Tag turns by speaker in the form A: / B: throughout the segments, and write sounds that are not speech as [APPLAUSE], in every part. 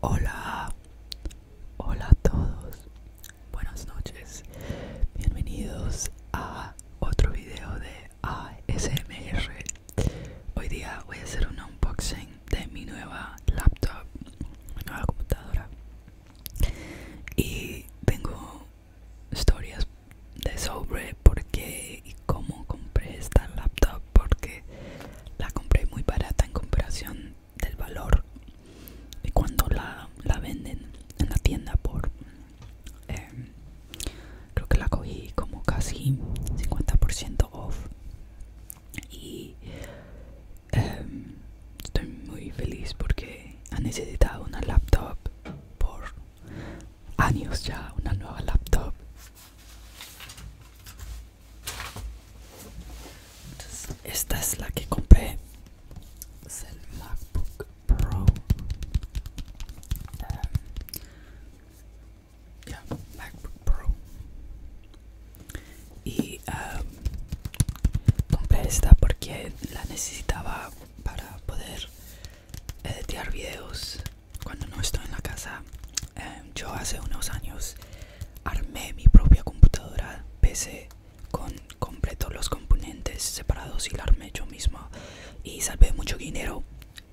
A: Hola, hola a todos, buenas noches, bienvenidos a otro video de ASMR. Hoy día voy a hacer un unboxing de mi nueva laptop, nueva computadora. Y tengo historias de sobre por qué y cómo compré esta laptop porque la compré muy barata en comparación del valor y cuando la, la venden en la tienda por eh, creo que la cogí como casi 50% off y em, estoy muy feliz porque ha necesitado una laptop por años ya una nueva laptop entonces, esta es la que compré. Es el MacBook Pro. Um, MacBook Pro. Y um, compré esta porque la necesitaba para poder editar videos cuando no estoy en la casa yo hace unos años armé mi propia computadora PC con completo los componentes separados y la armé yo mismo y salvé mucho dinero.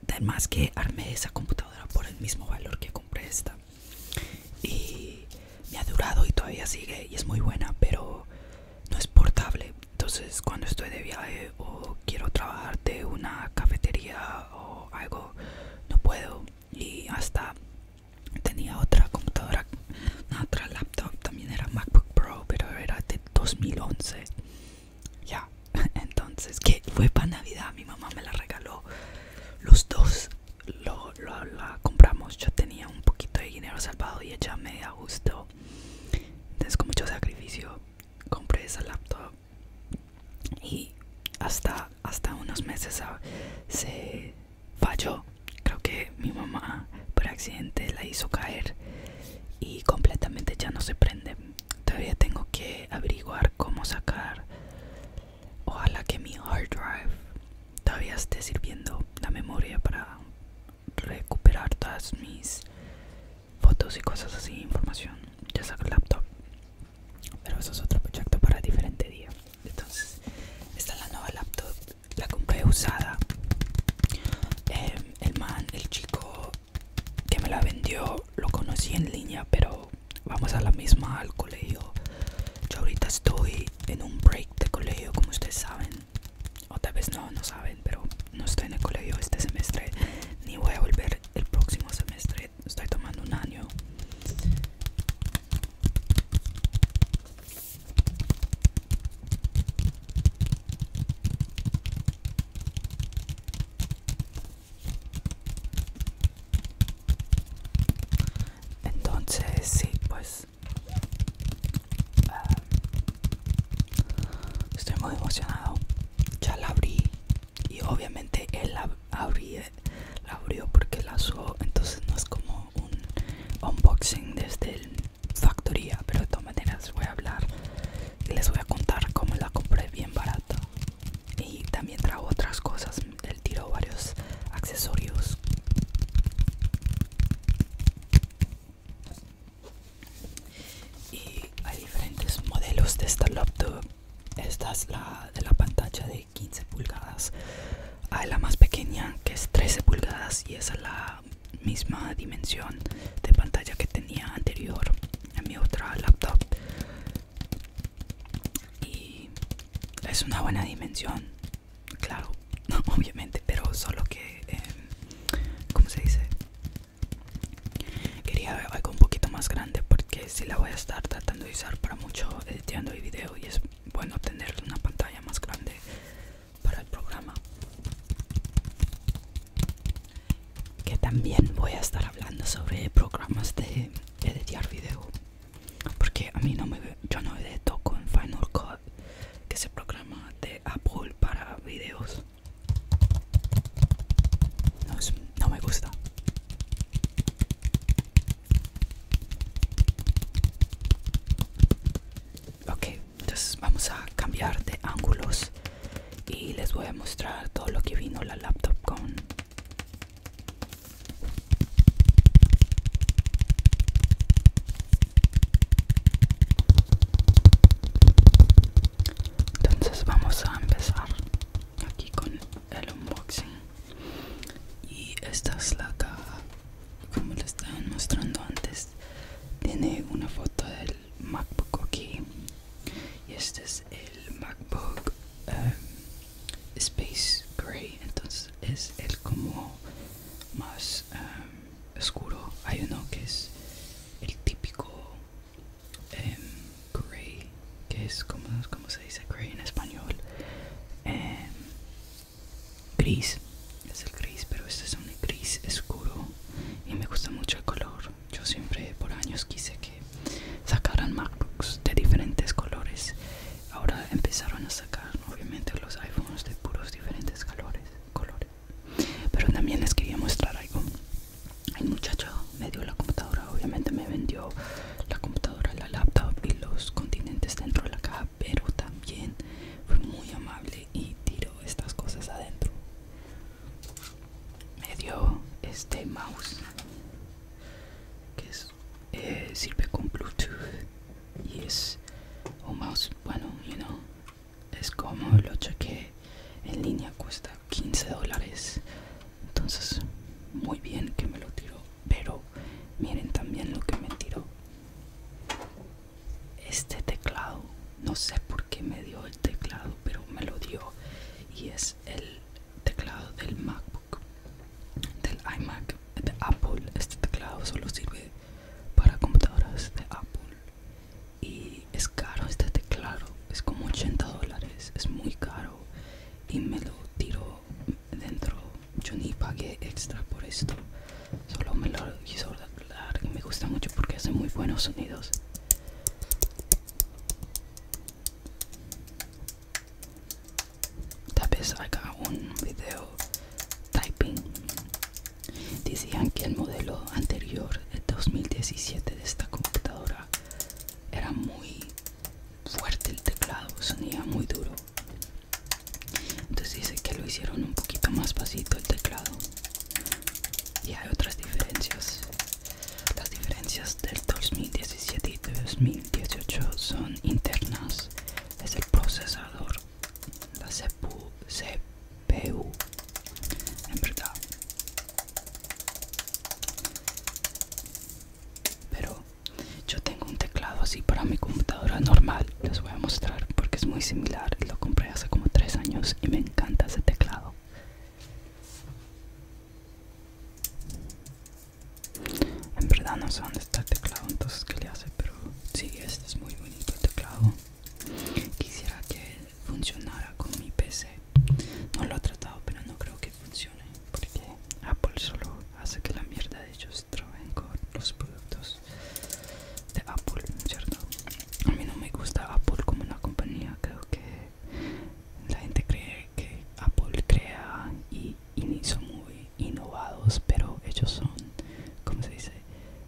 A: Además que armé esa computadora por el mismo valor que compré esta. Y me ha durado y todavía sigue y es muy buena, pero no es portable. Entonces cuando estoy de viaje o quiero trabajar de una cafetería o algo, no puedo y hasta tenía otra computadora, otra laptop, también era MacBook Pro, pero era de 2011. Ya, [LAUGHS] entonces, que fue para Navidad, mi mamá me la regaló. Los dos lo, la compramos, yo tenía un poquito de dinero salvado y ella me gusto Entonces, con mucho sacrificio, compré esa laptop y hasta hasta unos meses ah, se falló creo que mi mamá por accidente la hizo caer y completamente ya no se prende todavía tengo que averiguar cómo sacar ojalá que mi hard drive todavía esté sirviendo la memoria para recuperar todas mis fotos y cosas así información Ya saco el laptop pero eso es otro proyecto para diferente día. Entonces, esta es la nueva laptop. La compré usada. Em, el man, el chico que me la vendió, lo conocí en línea, pero vamos a la misma al colegio. Yo ahorita estoy en un break de colegio, como ustedes saben. O tal vez no, no saben, pero no estoy en el colegio este semestre. Ni voy a volver el próximo semestre estoy tomando un año entonces sí pues ah, estoy muy emocionado ya la abrí y obviamente él la, la abrió porque la usó entonces no es como un unboxing desde la factoría pero de todas maneras voy a hablar y les voy a contar cómo la compré bien barata y también trajo otras cosas él tiró varios accesorios y hay diferentes modelos de esta laptop esta es la de la pantalla de 15 pulgadas. Hay ah, la más pequeña que es 13 pulgadas y esa es la misma dimensión de pantalla que tenía anterior en mi otra laptop. Y es una buena dimensión, claro, [LAUGHS] obviamente, pero solo que, como em, ¿cómo se dice? Quería algo un poquito más grande que si la voy a estar tratando de usar para mucho editando el video y es bueno tener una pantalla más grande para el programa que también voy a estar hablando sobre programas de editar video porque a mí no me yo no edito en Final Cut que es el programa de Apple para videos no me gusta. Ok, entonces vamos a cambiar de ángulos y les voy a mostrar todo lo que vino la laptop con. Entonces vamos a empezar aquí con el unboxing y esta es la caja como les estaba mostrando antes tiene una foto del macbook aquí y este es el macbook em, space gray entonces es el como más em, oscuro hay uno que es el típico Em, gray, que es como, se dice gray en español, em, gris, es el gris, pero este es un gris oscuro y me gusta mucho el color. Yo siempre por años quise que sacaran MacBooks de diferentes colores. Ahora empezaron a sacar obviamente los iPhones de puros diferentes colores, colores. Pero también les quería mostrar algo el muchacho me dio la computadora, obviamente me vendió la computadora, la laptop y los continentes dentro de la caja, pero también fue muy amable y tiró estas cosas adentro. Me dio este mouse que eh, sirve con Bluetooth y es un mouse, bueno, you know, es como lo que en línea, cuesta 15 dólares entonces muy bien que me lo tiró pero miren también lo que me tiró este teclado no sé por qué me dio el teclado pero me lo dio y es el teclado del macbook del imac de apple este teclado solo sirve para computadoras de apple y es caro este teclado es como 80 dólares, es muy caro y me lo tiro dentro. Yo ni pagué extra por esto, solo me lo hizo dar y me gusta mucho porque hace muy buenos sonidos. Tal vez haga un video typing. Decían que el modelo anterior, el 2017 de esta computadora, era muy fuerte el teclado, sonía muy duro. Entonces dice que lo hicieron un poquito más pasito el teclado. Y hay otras diferencias. Las diferencias del 2017 y 2018 son internas. Es el procesador, la CPU. En verdad, pero yo tengo un teclado así para mi computadora normal. Les voy a mostrar porque es muy similar. Lo compré hace como tres años y me encanta ese teclado. En verdad no sé dónde está el teclado, entonces qué le hace, pero sí, este es muy bonito el teclado. Quisiera que funcionara con mi PC. No lo he tratado, pero no creo que funciona porque Apple solo hace que la mierda de ellos trabajen con los productos de Apple, ¿cierto? A mí no me gusta Apple como una compañía, creo que la gente cree que Apple crea y, y son muy innovados, pero ellos son, ¿cómo se dice?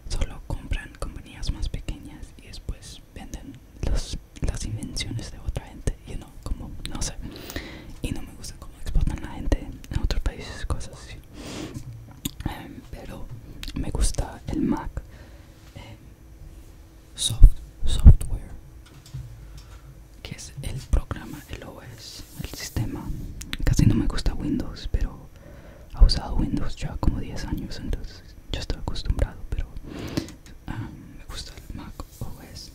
A: Solo compran compañías más pequeñas y después venden las invenciones de otra gente y no como no sé y no me gusta cómo exportan la gente en otros países cosas así em, pero me gusta el Mac em, soft, software que es el programa el OS el sistema casi no me gusta Windows pero ha usado Windows ya como 10 años entonces ya estoy acostumbrado pero Ah, me gusta el Mac OS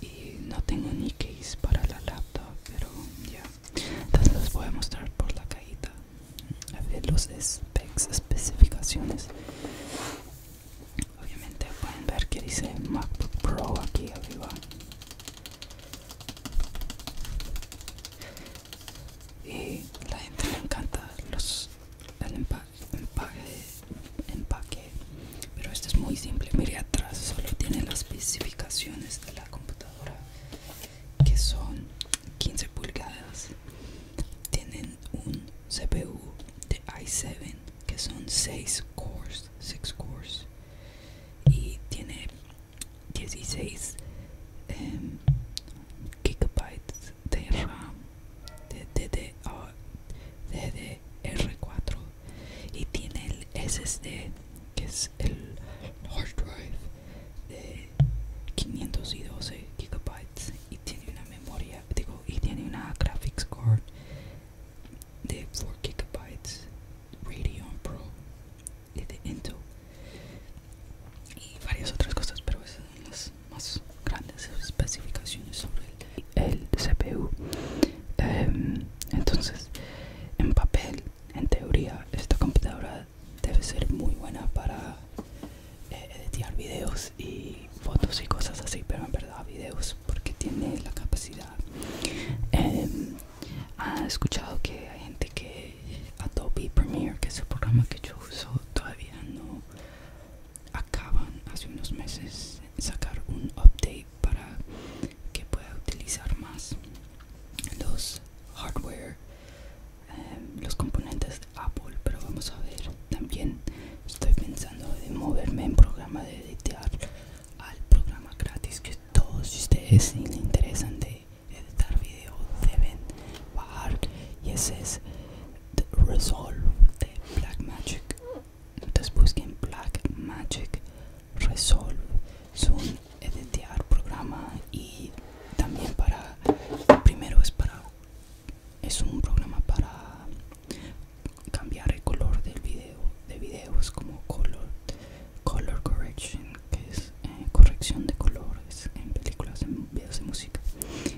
A: y no tengo ni case para la laptop pero ya entonces les voy a mostrar por la cajita a los specs especificaciones obviamente pueden ver que dice MacBook Pro aquí arriba y la gente me encanta los el empaque, empaque pero esto es muy simple mire atrás solo tiene las especificaciones de la computadora que son 15 pulgadas tienen un CPU de i7 que son 6 cores 6 cores y tiene 16 em, gigabytes de RAM de DDR4 y tiene el SSD que es el hard drive de 512 gigabytes y tiene una memoria digo y tiene una graphics card de 4 gigabytes Radeon Pro de Intel y varias otras cosas pero esas más, grandes especificaciones sobre el, CPU. Em, entonces, en papel, en teoría, esta computadora debe ser muy buena para eh, editar videos y fotos y cosas así, pero en verdad videos porque tiene la capacidad. Em, ha escuchado que hay gente que Adobe Premiere, que es el programa que yo uso, todavía no acaban hace unos meses sacar un update para que pueda utilizar más los hardware em, los componentes de Apple pero vamos a ver también estoy pensando de moverme en programa de editar al programa gratis que todos ustedes si les interesan de editar video deben bajar y ese es Resolve de Black Magic. Entonces busquen Black Magic Resolve. Es un editar programa y también para. Primero es para. Es un programa para cambiar el color del video. De videos como color, color correction, que es eh, corrección de colores en películas, en videos de música.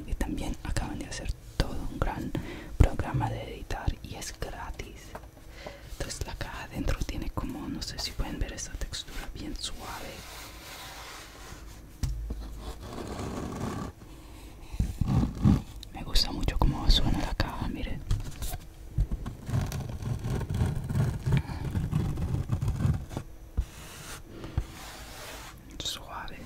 A: Y también acaban de hacer todo un gran programa de editar y es gratis entonces la caja adentro tiene como no sé si pueden ver esa textura bien suave me gusta mucho cómo suena la caja miren suave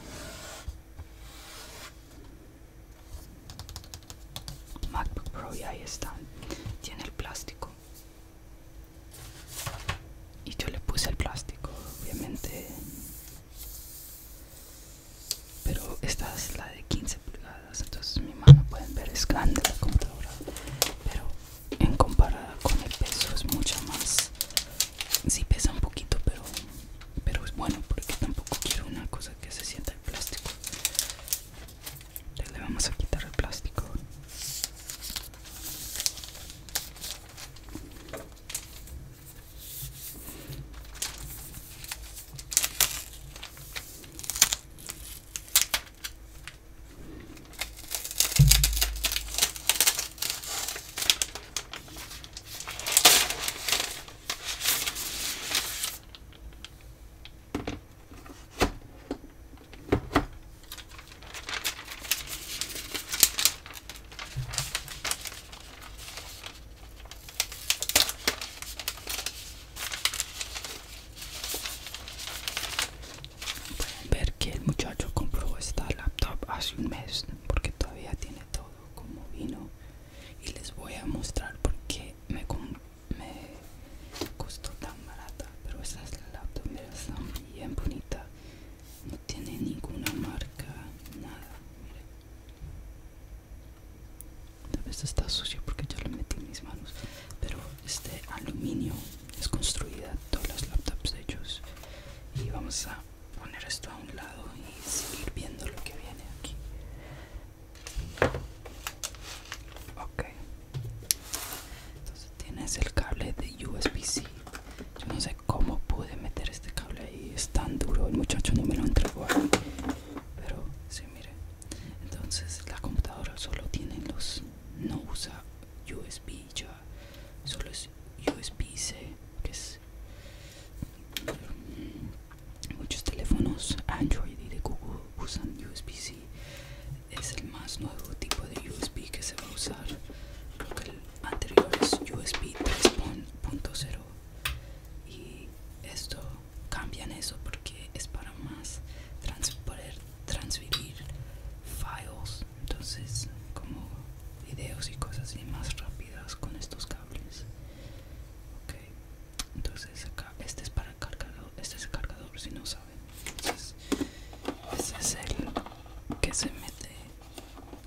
A: MacBook Pro y ahí está tiene el plástico y yo le puse el plástico obviamente pero esta es la de 15 pulgadas entonces mi mano pueden ver es grande la computadora pero en comparada con el peso es mucho más si pesa un poquito pero pero es bueno porque tampoco quiero una cosa que se sienta el plástico le vamos a quitar el plástico Pueden ver que el muchacho compró esta laptop hace un mes porque todavía tiene todo como vino y les voy a mostrar por qué me, costó tan barata pero esta es la laptop mira está bien bonita no tiene ninguna marca nada Esta está sucia porque yo la metí en mis manos pero este aluminio es construida todas las laptops de ellos y vamos a poner esto a un lado y seguir viendo lo que viene aquí. Entonces tienes el cable de USB-C. Yo no sé cómo pude meter este cable ahí. Es tan duro. El muchacho no me lo entregó Pero sí, mire. Entonces la computadora solo tiene los... No usa USB ya. Solo es USB-C, muchos teléfonos Android y de Google usan USB-C. Es el más nuevo tipo de USB que se va a usar. Creo que el anterior es USB 3.0 y esto cambian eso porque es para más poder transferir files entonces como videos y cosas así más rápidas con estos cables ok entonces acá este es para el cargador este es el cargador si no saben entonces este es el que se mete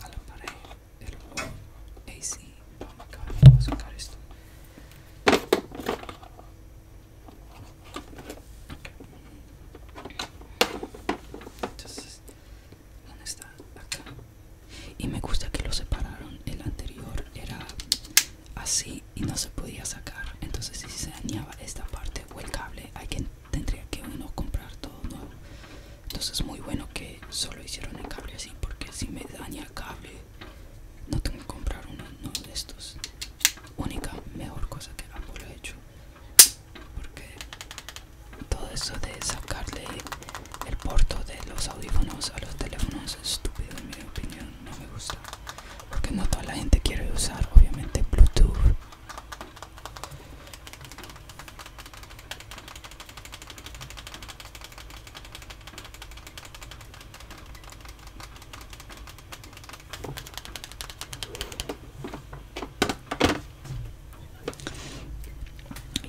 A: a la pared el AC vamos a sacar esto entonces ¿Dónde Y me gusta que lo separaron. El anterior era así y no se podía sacar. Entonces si se dañaba esta parte o el cable, alguien tendría que uno comprar todo nuevo. Entonces muy bueno que solo hicieron el cable así porque si me daña el cable no tengo que comprar uno, de estos. Única mejor cosa que lo he hecho. Porque todo eso de sacarle el porto de los audífonos a los teléfonos es estúpido en mi opinión no me gusta porque no toda la gente quiere usar obviamente bluetooth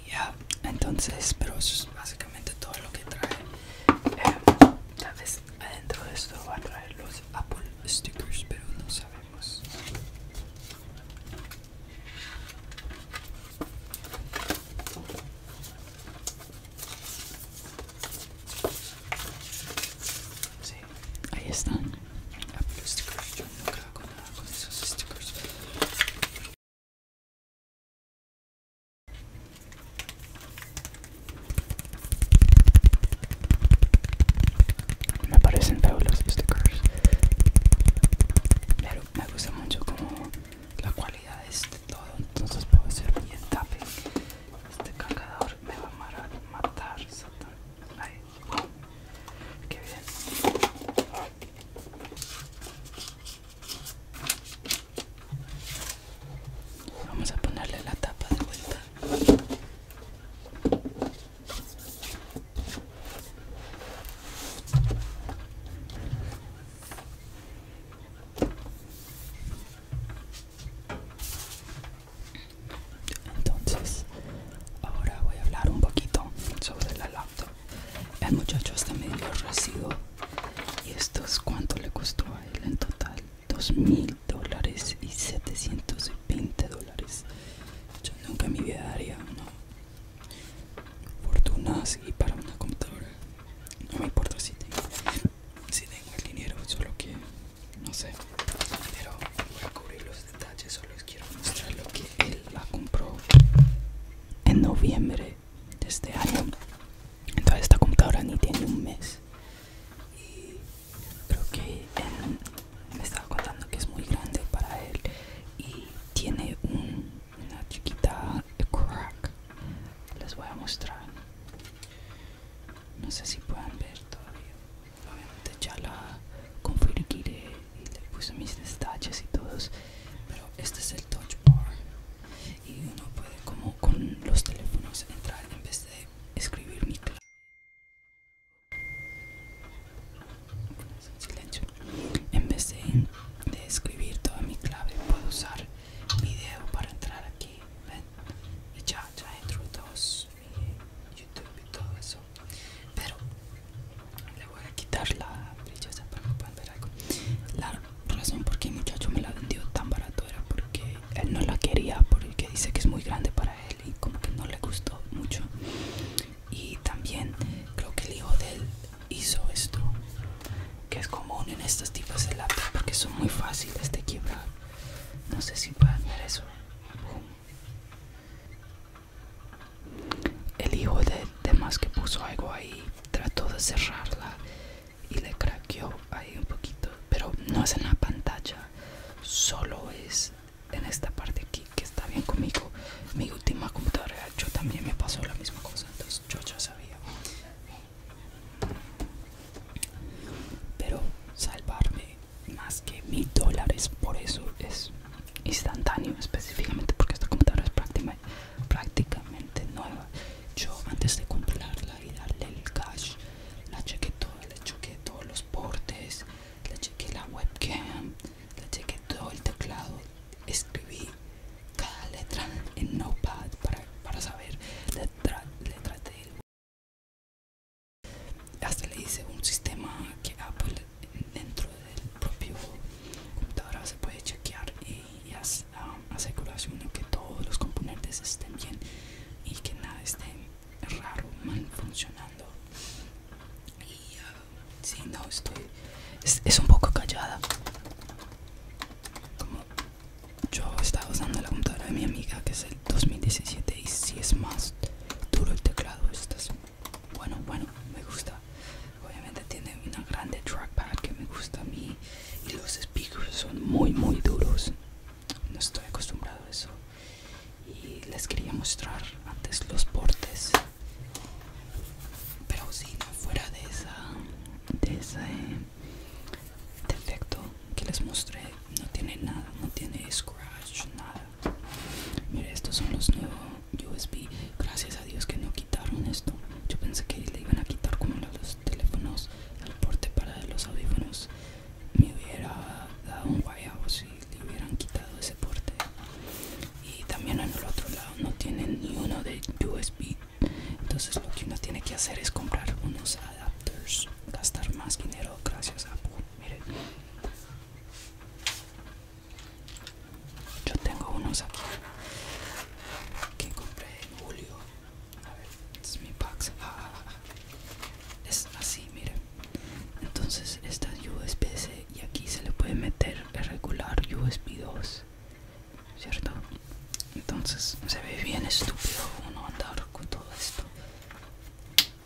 A: ya entonces pero eso es básicamente todo lo que trae eh, tal vez adentro de esto va a traer los apple stickers pero no sabemos Ahí están. Apple stickers. Yo nunca nada con esos stickers. Me parecen feos los stickers. Pero me gusta mucho como la cualidad es de todo. Entonces puedo hacer bien tapping. Este cargador me va a matar. Satan. Vamos a ponerle la tapa de vuelta. Entonces, ahora voy a hablar un poquito sobre la laptop. El muchacho está medio residuo y esto es cuánto le costó a él en total. mil dólares y 720 dólares. Yo nunca en mi vida daría una fortuna así para una computadora. No me importa si tengo, el dinero, solo que no sé. Pero voy a cubrir detalles, solo les quiero mostrar lo que él la compró en noviembre de este año. Entonces esta computadora ni tiene un mes. Y creo que él me estaba contando que es muy grande para él y tiene una chiquita crack. Les voy a mostrar. No sé si pueden ver todavía obviamente ya la configuré y le puse mis detalles y todos pero este es el touch bar y uno puede como con los teléfonos entrar en vez de escribir mi clave en vez de, escribir toda mi clave puedo usar video para entrar aquí ¿ven? y ya ya entro dos. YouTube y todo eso. Pero le voy a quitar la esa para que puedan ver algo. La razón por qué el muchacho me la vendió tan barato era porque él no la quería, porque dice que es muy grande para él y como que no le gustó mucho. Y también creo que el hijo de él hizo esto, que es común en estas tipos de lápiz porque son muy fáciles de quebrar. No sé si pueden ver eso. El hijo de Demas que puso algo ahí trató de cerrarla y le craqueó ahí un poquito, pero no es en la pantalla, solo es en esta parte aquí que está bien conmigo. Mi última computadora, yo también me pasó la misma cosa, entonces yo ya sabía. Pero salvarme más que mil dólares por eso es instantáneo específicamente porque esta computadora es prácticamente nueva yo antes de comprarla y darle el cash la cheque todo, le chequé todos los portes le cheque la webcam le cheque todo el teclado escribí cada letra en notepad para, para saber letra, letra web hasta le hice un sistema que Apple dentro del propio computadora se puede chequear y, y que todos los componentes estén bien y que nada esté raro mal funcionando y ah, si no estoy es, un poco callada como yo estaba usando la computadora de mi amiga que el 2017 y si es más duro el teclado bueno bueno me gusta obviamente tiene una grande trackpad que me gusta a mí y los speakers son muy muy duros no estoy acostumbrado a eso y les quería mostrar antes los portes pero si fuera de esa de ese defecto que les mostré no tiene nada no tiene scratch nada Mira, estos son los nuevos USB. Gracias a Dios que no quitaron esto. Yo pensé que le iban a quitar como los teléfonos, el porte para los audífonos. Me hubiera dado un guayabo si le hubieran quitado ese porte. Y también en el otro lado no tienen ni uno de USB. Entonces lo que uno tiene que hacer es comprar unos adapters, gastar más dinero gracias a Apple miren yo tengo unos aquí que compré en julio a ver es mi box ah, ah, ah, es así mire, entonces esta es usb c y aquí se le puede meter el regular usb 2 cierto entonces se ve bien estúpido uno andar con todo esto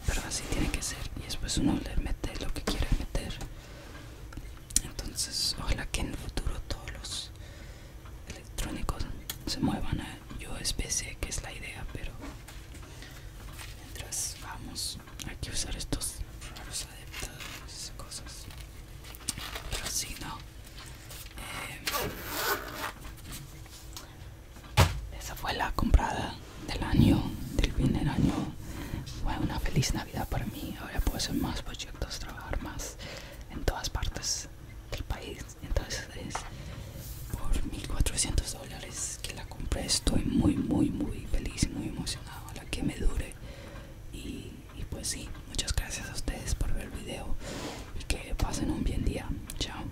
A: pero así tiene que ser y después uno le mete lo que quiere meter entonces ojalá que en el futuro todos los electrónicos se muevan a usb que es la idea pero mientras vamos hay que usar estos raros adaptadores cosas pero si no eh, esa fue la comprada del año, del fin del año. Fue una feliz Navidad para mí. Ahora puedo hacer más proyectos, trabajar más en todas partes del país. Entonces, por 1400 dólares que la compré, estoy muy, muy, muy feliz muy emocionado. a La que me dure. Y, pues, sí, muchas gracias a ustedes por ver el video y que pasen un buen día. Chao.